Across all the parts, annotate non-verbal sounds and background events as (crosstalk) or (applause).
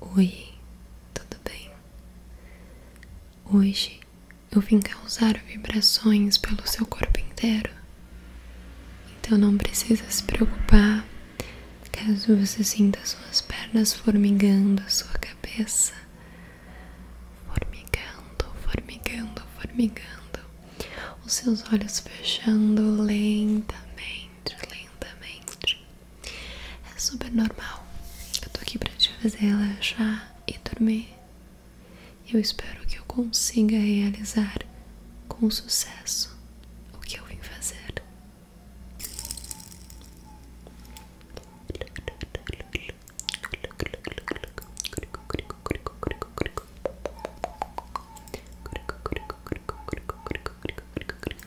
Oi, tudo bem? Hoje eu vim causar vibrações pelo seu corpo inteiro, então não precisa se preocupar caso você sinta suas pernas formigando sua cabeça. Formigando, formigando, formigando, os seus olhos fechando lentamente, lentamente, é super normal. Eu tô aqui pra te fazer relaxar e dormir. Eu espero que eu consiga realizar com sucesso o que eu vim fazer. (laughs)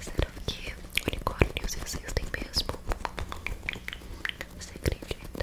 Será que o unicórnios existem mesmo? Você acredita?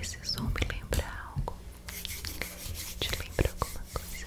Esse som me lembra algo. Te lembra alguma coisa?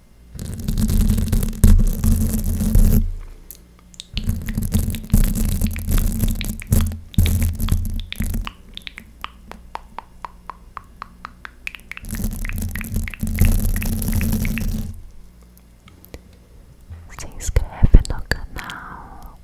Se inscreve no canal.